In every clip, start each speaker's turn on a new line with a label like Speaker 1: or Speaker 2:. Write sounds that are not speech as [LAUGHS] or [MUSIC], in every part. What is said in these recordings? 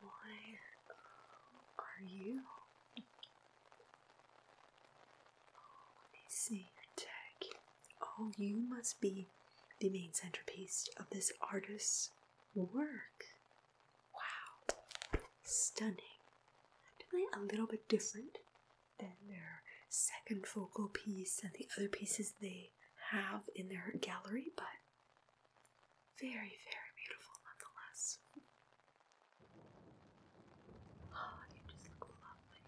Speaker 1: Why um, are you? Oh, let me see your tag. Oh, you must be the main centerpiece of this artist's work. Wow, stunning. Definitely a little bit different than their second focal piece and the other pieces they have in their gallery, but very, very beautiful nonetheless. Oh, you just look lovely.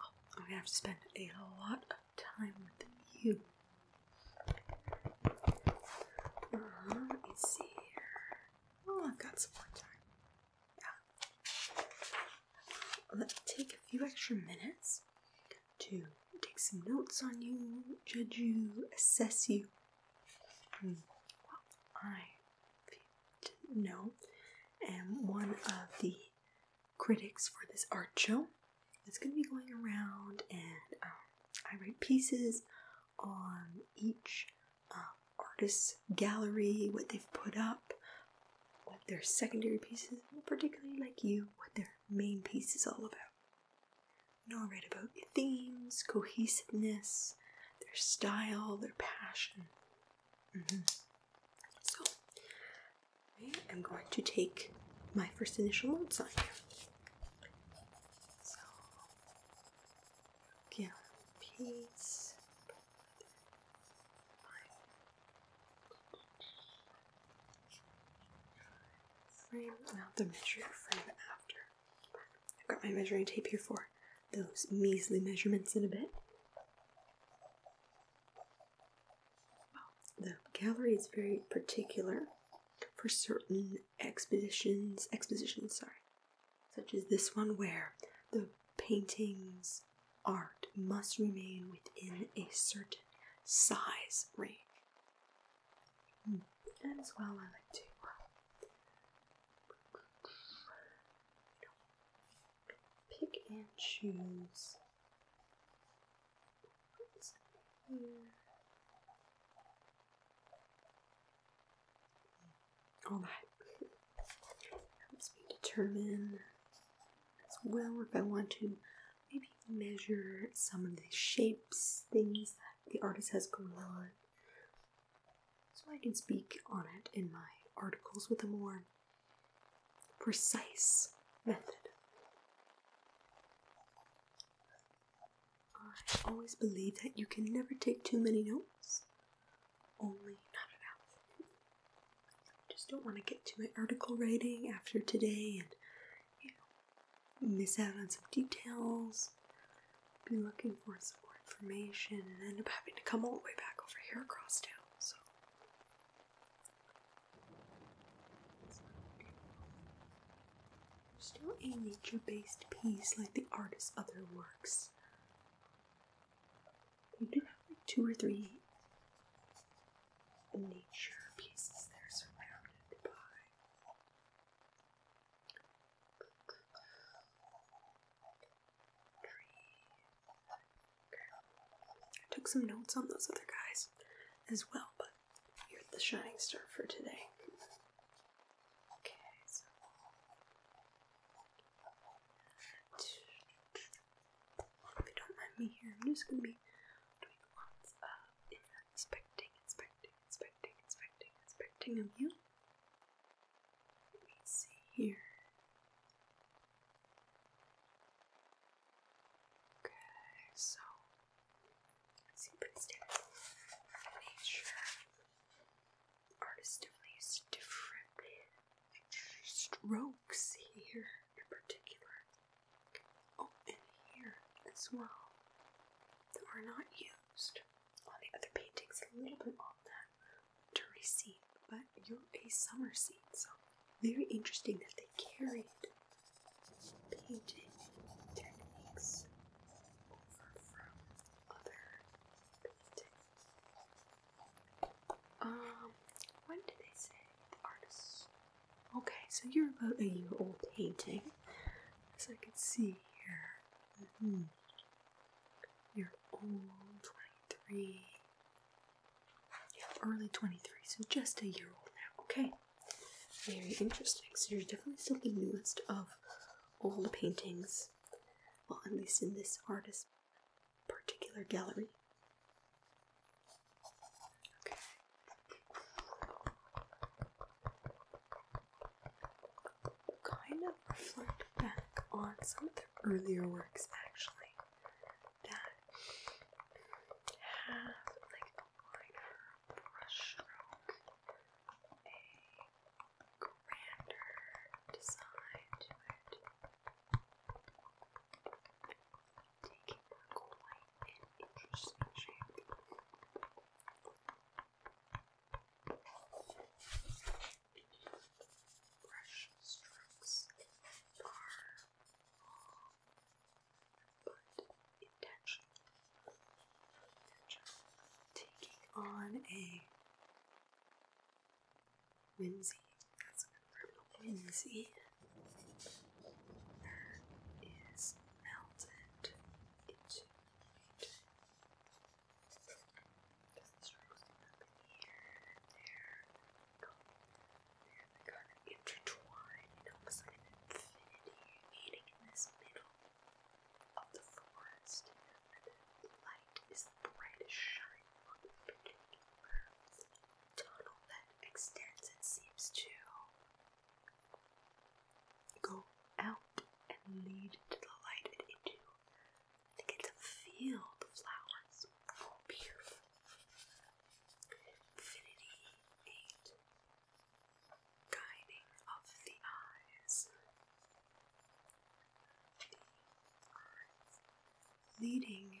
Speaker 1: Oh, I'm gonna have to spend a lot of time with you. Uh, let me see here. Oh, I've got some more time. Yeah. Let me take a few extra minutes to take some notes on you, judge you, assess you. Hmm. Well, I did am one of the critics for this art show. It's going to be going around, and um, I write pieces on each um, artist's gallery, what they've put up, what their secondary pieces, particularly like you, what their main piece is all about. Know I'll about themes, cohesiveness, their style, their passion. Mm-hmm. So, I am going to take my first initial notes on here. So, peace frame, not the measuring frame after. I've got my measuring tape here for those measly measurements in a bit. The gallery is very particular for certain exhibitions. expositions, sorry, such as this one where the painting's art must remain within a certain size range. And as well, I like to pick and choose. All that helps me determine as well if I want to maybe measure some of the shapes, things that the artist has going on, so I can speak on it in my articles with a more precise method. I always believe that you can never take too many notes, only not enough. I just don't want to get to my article writing after today and you know, miss out on some details, be looking for some more information, and end up having to come all the way back over here across town. So, still a nature based piece like the artist's other works. You do have like two or three nature pieces that are surrounded by I took some notes on those other guys as well, but you're the shining star for today. Okay, so. If you don't mind me here, I'm just gonna be doing doing of inspecting, inspecting, inspecting, inspecting, inspecting of you. Let me see here. Okay, so let's see pretty standard nature. Artist definitely used different strokes here in particular. Oh, and here as well. That are not used on the other paintings, a little bit on that dirty scene, but you're a summer scene, so very interesting that they carried painting techniques over from other paintings. Um, when did they say the artists Okay, so you're about a year old painting, as I can see here. Mm-hmm. You're old, 23. Yeah, early 23, so just a year old now, okay? Very interesting. So you're definitely still the newest of all the paintings, well, at least in this artist's particular gallery. Kind of reflect back on some of the earlier works actually that have like a liner a grander design to it taking a quite an interesting shape. Brush strokes are long, but intentional. Taking on a whimsy, that's a whimsy that is melted into the This is roasting here and there. They're kind of intertwined, almost like an infinity meeting in this middle of the forest. the light is brightest shining on this particular tunnel that extends, it seems, to go out and lead to the light into. the field of flowers. Oh, beautiful. Infinity Guiding of the eyes. Leading.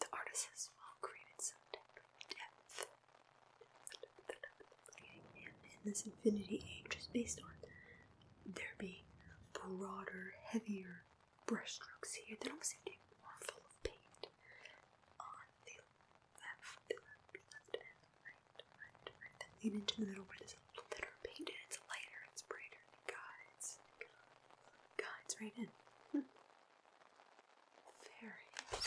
Speaker 1: the artist has well created some depth. in this infinity age just based on there being broader, heavier brushstrokes here that don't seem more full of paint on the left, left, left, and right, right, right. Then lean into the middle where there's a little thinner paint and it's lighter, it's brighter, it guides, guides right in. Hmm. [LAUGHS]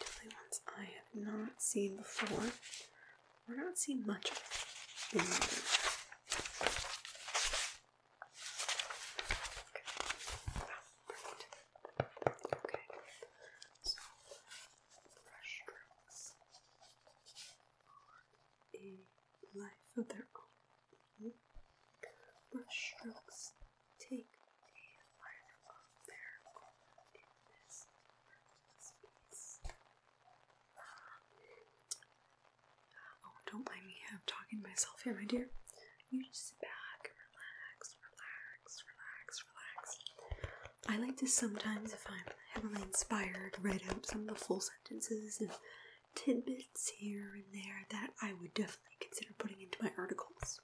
Speaker 1: Definitely ones I have not seen before. We're not seeing much of it. Ah, okay. So fresh a life of their own. Brushstrokes take a life of their own oh, don't mind me. I'm talking to myself here, my dear. You just sit back, relax, relax, relax, relax. I like to sometimes, if I'm heavily inspired, write out some of the full sentences and tidbits here and there that I would definitely consider putting into my articles.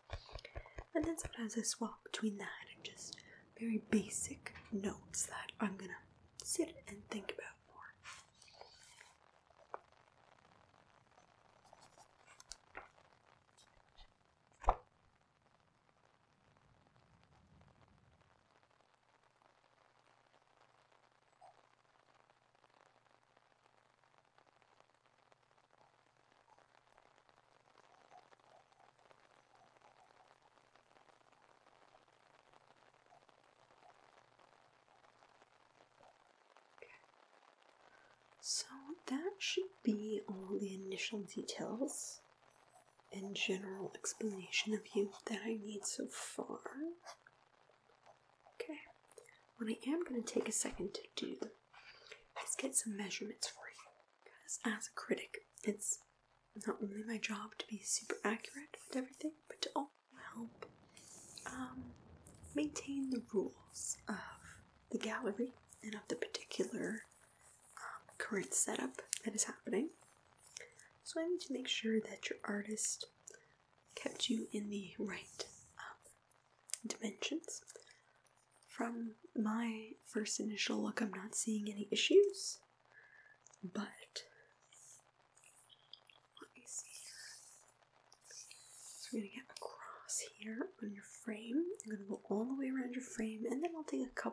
Speaker 1: And then sometimes I swap between that and just very basic notes that I'm gonna sit and think about more. So that should be all the initial details and general explanation of you that I need so far. Okay, what I am going to take a second to do is get some measurements for you. Because as a critic, it's not only my job to be super accurate with everything, but to also help um, maintain the rules of the gallery and of the particular current setup that is happening. So I need to make sure that your artist kept you in the right um, dimensions. From my first initial look, I'm not seeing any issues, but let me see So we're gonna get across here on your frame. I'm gonna go all the way around your frame, and then I'll take a couple.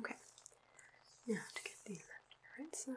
Speaker 1: Okay, now to get the right side.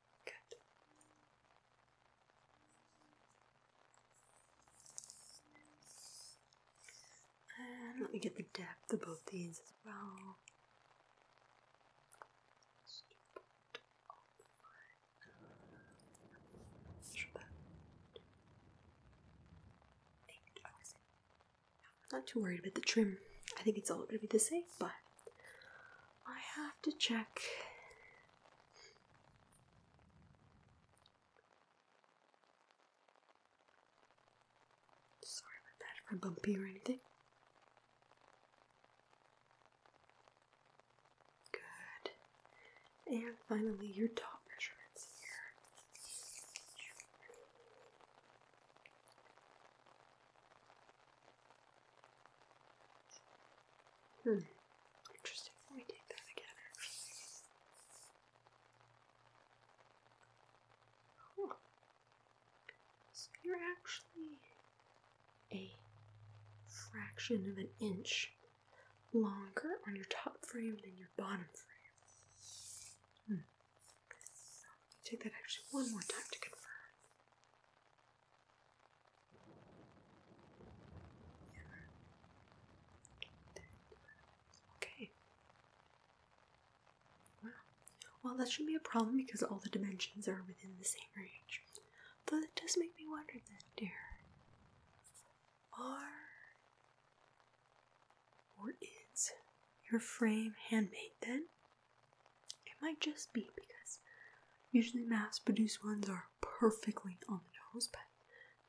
Speaker 1: let me get the depth of both these as well. Not too worried about the trim. I think it's all going to be the same, but I have to check. Sorry about that if I'm bumpy or anything. Good. And finally, your top measurements here. Hmm. Interesting. Let me take that again. So you're actually a fraction of an inch longer on your top frame than your bottom frame. Hmm. Take that actually one more time to confirm. Okay. Well, well, that shouldn't be a problem because all the dimensions are within the same range. Though that does make me wonder then, dear. Are or is your frame handmade then? It might just be because usually mass produced ones are perfectly on the nose, but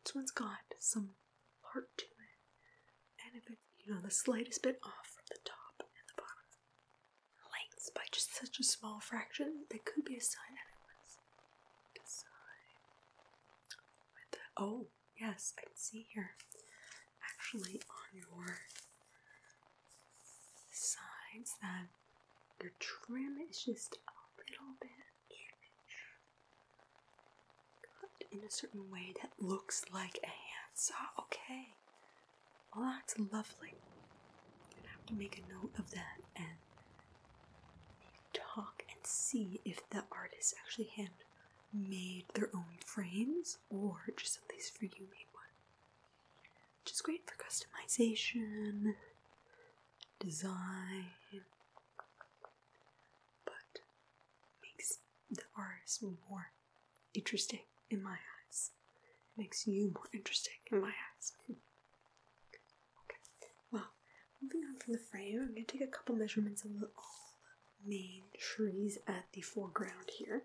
Speaker 1: this one's got some heart to it. And if it's, you know, the slightest bit off from the top and the bottom lengths by just such a small fraction, that could be a sign Oh, yes, I can see here actually on your sides that your trim is just a little bit cut in a certain way that looks like a handsaw. Okay. Well, that's lovely. i have to make a note of that and talk and see if the artists actually hand made their own frames or just at least for you made one. Which is great for customization, design, but makes the artist more interesting in my eyes. It makes you more interesting in my eyes. [LAUGHS] okay, well, moving on from the frame, I'm going to take a couple measurements of all the main trees at the foreground here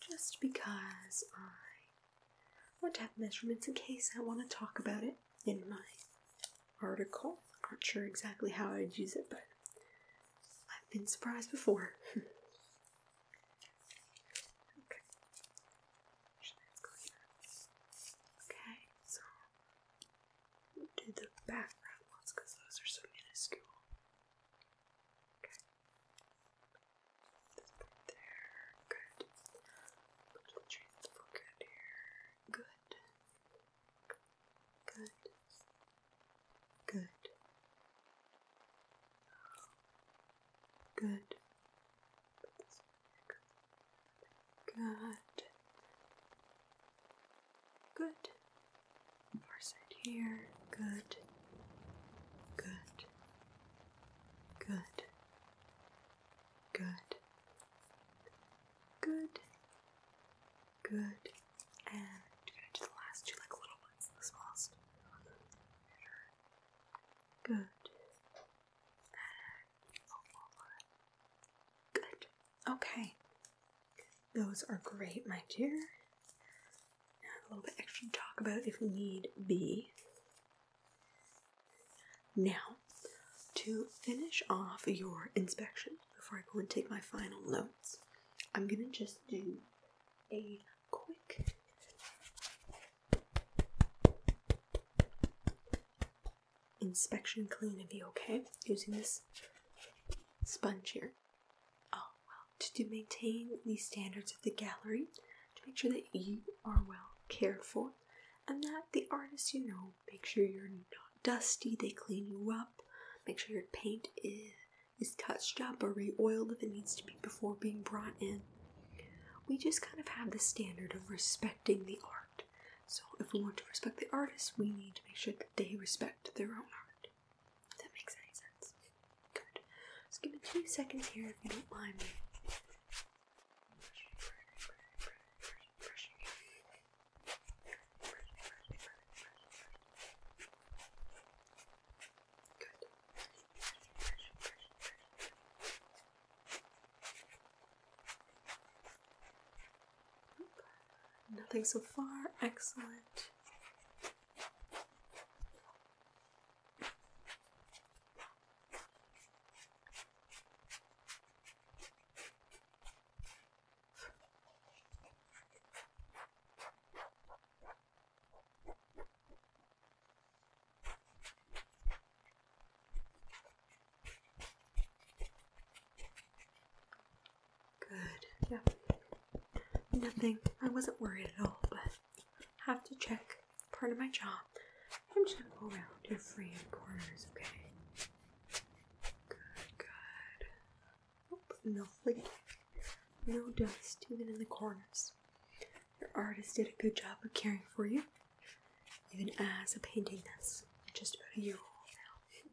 Speaker 1: just because I want to have measurements in case I want to talk about it in my article. I'm not sure exactly how I'd use it, but I've been surprised before. [LAUGHS] okay. Okay, so do the background ones because those are so minuscule. Okay. there. Good. Put the trees good here. Good. Good. Good. Good. Good. Good. Good. Parse it here. Good. Good. Good. Good. Good. Good. And i last two like little ones, the smallest. Good. And one Good. Okay. Those are great, my dear. A little bit extra talk about if need be. Now, to finish off your inspection before I go and take my final notes, I'm going to just do a quick inspection clean of you, okay? Using this sponge here. Oh, well, to, maintain the standards of the gallery, to make sure that you are well cared for, and that the artists you know make sure you're not dusty, they clean you up, make sure your paint is, is touched up or re oiled if it needs to be before being brought in. We just kind of have the standard of respecting the art. So, if we want to respect the artists, we need to make sure that they respect their own art that makes any sense. Good. Just give me two seconds here if you don't mind Good. Nothing so far. Excellent. Good. Yeah. Nothing. I wasn't worried at all, but I have to check. Part of my job. I'm just gonna go around your free corners, okay? Good, good. Oop, no No dust, even in the corners. Your artist did a good job of caring for you, even as a painting that's just about a year old now.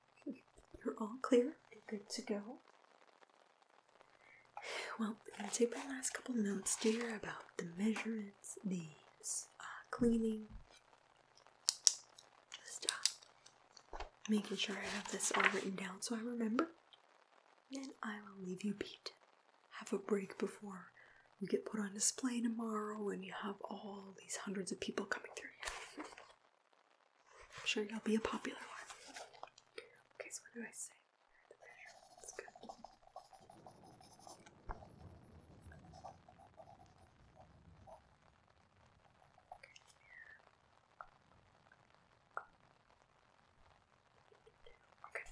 Speaker 1: You're all clear and good to go. Well, I'm going to take my last couple notes, dear, about the measurements, the uh, cleaning, just uh, making sure I have this all written down so I remember. Then I will leave you beat. Have a break before you get put on display tomorrow and you have all these hundreds of people coming through here. [LAUGHS] I'm sure you'll be a popular one. Okay, so what do I say? That's good. Okay. Okay.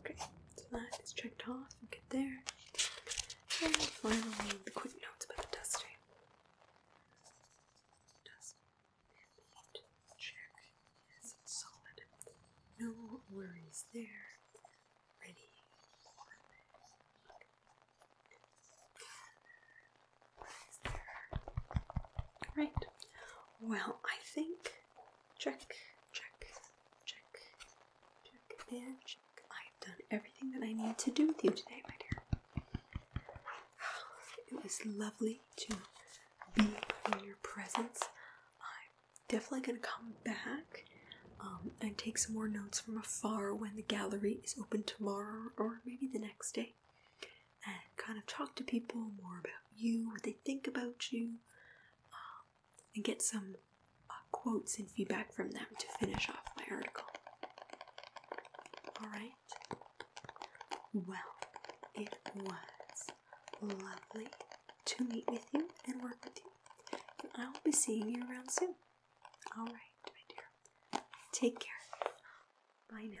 Speaker 1: Okay, so that is checked off. we get there. And finally, the quick notes about the dusting. check is solid. No worries there. Ready. Right. Well, I think check, check, check, I've done everything that I need to do with you today, my dear. It was lovely to be in your presence. I'm definitely going to come back um, and take some more notes from afar when the gallery is open tomorrow or maybe the next day and kind of talk to people more about you, what they think about you. Um, and get some uh, quotes and feedback from them to finish off my article. Alright? Well, it was lovely to meet with you and work with you. And I will be seeing you around soon. Alright, my dear. Take care. Bye now.